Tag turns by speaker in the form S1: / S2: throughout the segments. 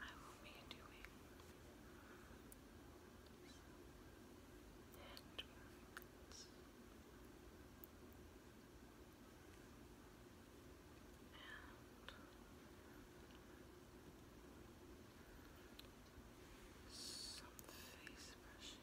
S1: I will be doing hand and some face brushing. Face brushing,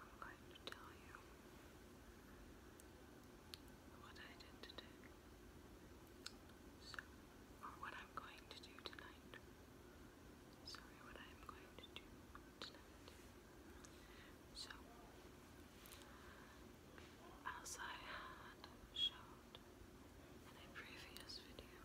S1: I'm going to tell you what I did today. So, or what I'm going to do tonight. Sorry, what I'm going to do tonight. So, as I had showed in a previous video,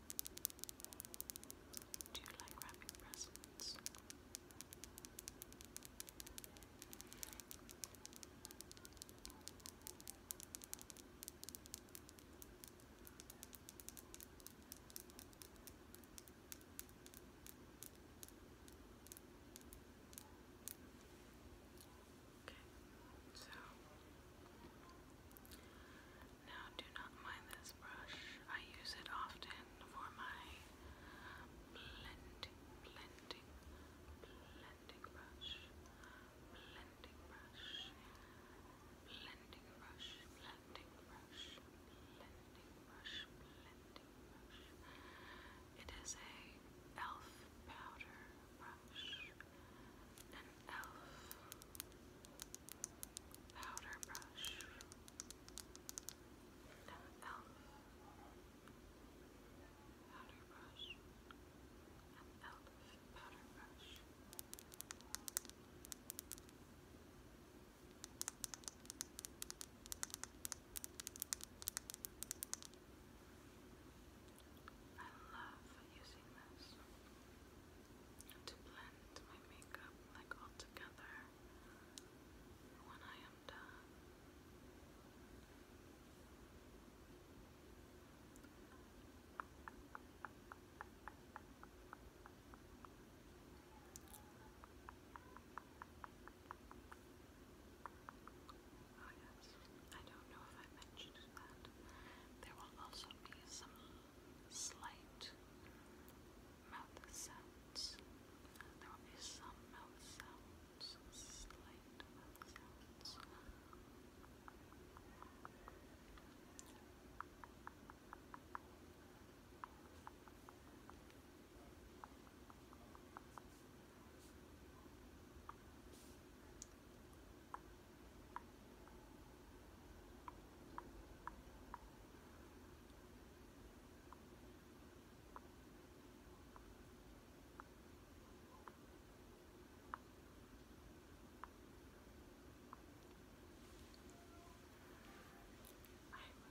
S1: Do you like wrapping presents? Okay, so now do not mind the brush. I use it often for my blending, blending, blending brush, blending brush, blending brush, blending brush, blending brush, blending brush. It is a elf powder brush, e.l.f. powder brush e.l.f. powder brush e.l.f. powder brush I love using this to blend my makeup like all together when I am done. Oh yes, I don't know if I mentioned that. There will also be some slight mouth sounds. There will be some mouth sounds, slight I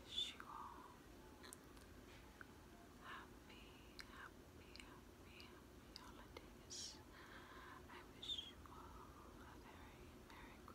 S1: wish you all happy, happy, happy, holidays. I wish you all a very Merry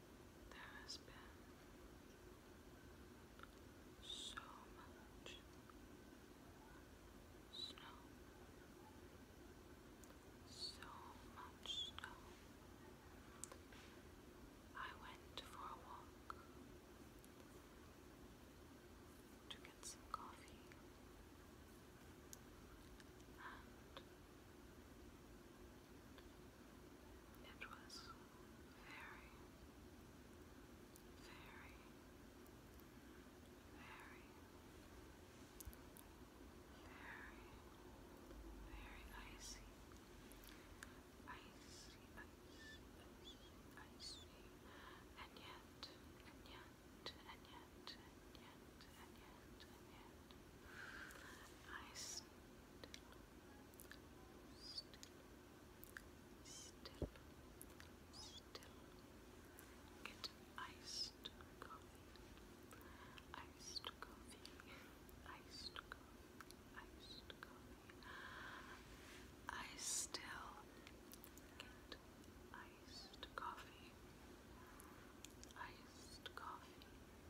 S1: There has been so much snow, so much snow. I went for a walk to get some coffee it was very, very, very, very, very icy. Icy, icy, icy, And yet, and yet, and yet, yet, and yet, and yet, I still, still, still, still get iced coffee, iced coffee, iced coffee, iced coffee. I still get iced coffee. Iced coffee,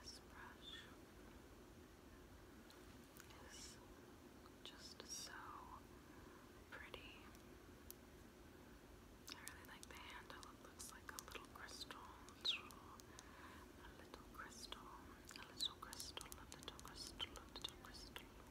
S1: this brush is just so pretty. I really like the handle, it looks like a little crystal a little crystal, a little crystal, a little crystal, a little crystal. Little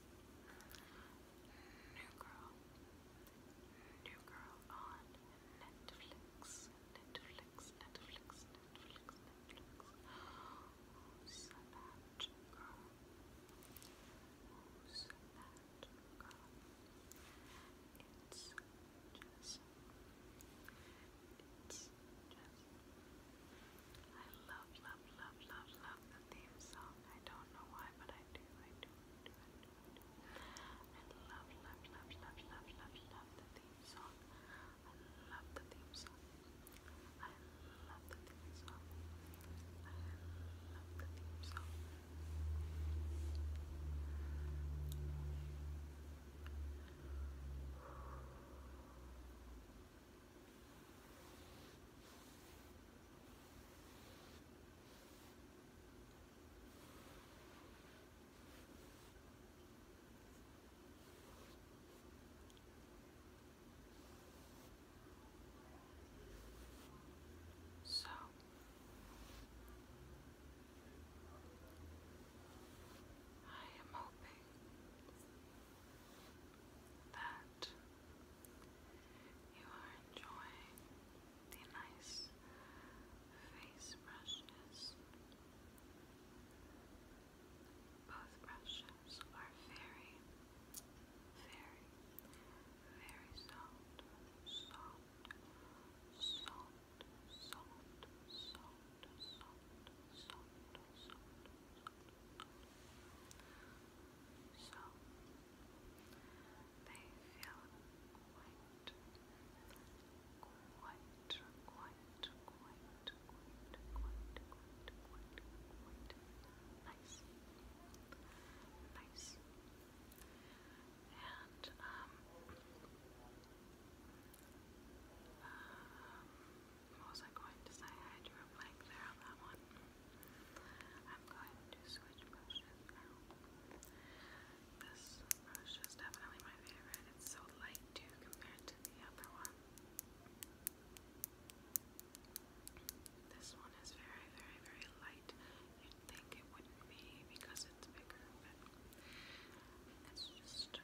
S1: New Girl. New Girl on Netflix. Netflix, Netflix, Netflix, Netflix. Who's girl? Who's girl? It's Jess. It's just, I love, love, love, love, love the theme song. I don't know why, but I do, I do, I do, I do, I do. I love, love, love, love, love, love, love the theme song. I love the theme song. I love the theme song. I love the theme song. I so I am hoping that you are enjoying the nice face brushes. Both brushes are very, very, very soft, soft, soft, soft, soft, soft, soft, soft, so they feel quite, quite, quite, quite, quite, quite, quite, quite, nice, nice, and um, um I'm also going to say I drew a blank there on that one. I'm going to switch brushes now. This brush is definitely my favorite. It's so light too compared to the other one. This one is very, very, very light. You'd think it wouldn't be because it's bigger, but it's just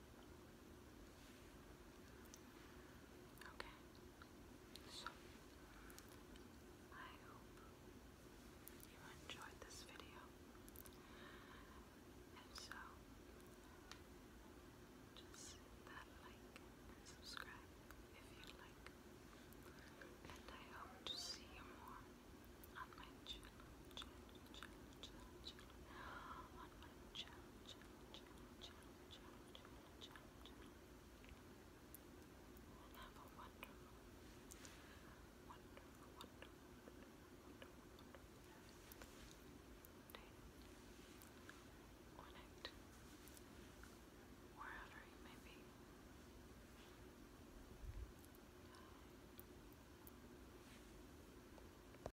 S1: Okay, so I hope you enjoyed this video. If so, just that like and subscribe if you like. And I hope to see you more on my channel. And have a wonderful, wonderful, wonderful, wonderful, wonderful day or night, wherever you may be.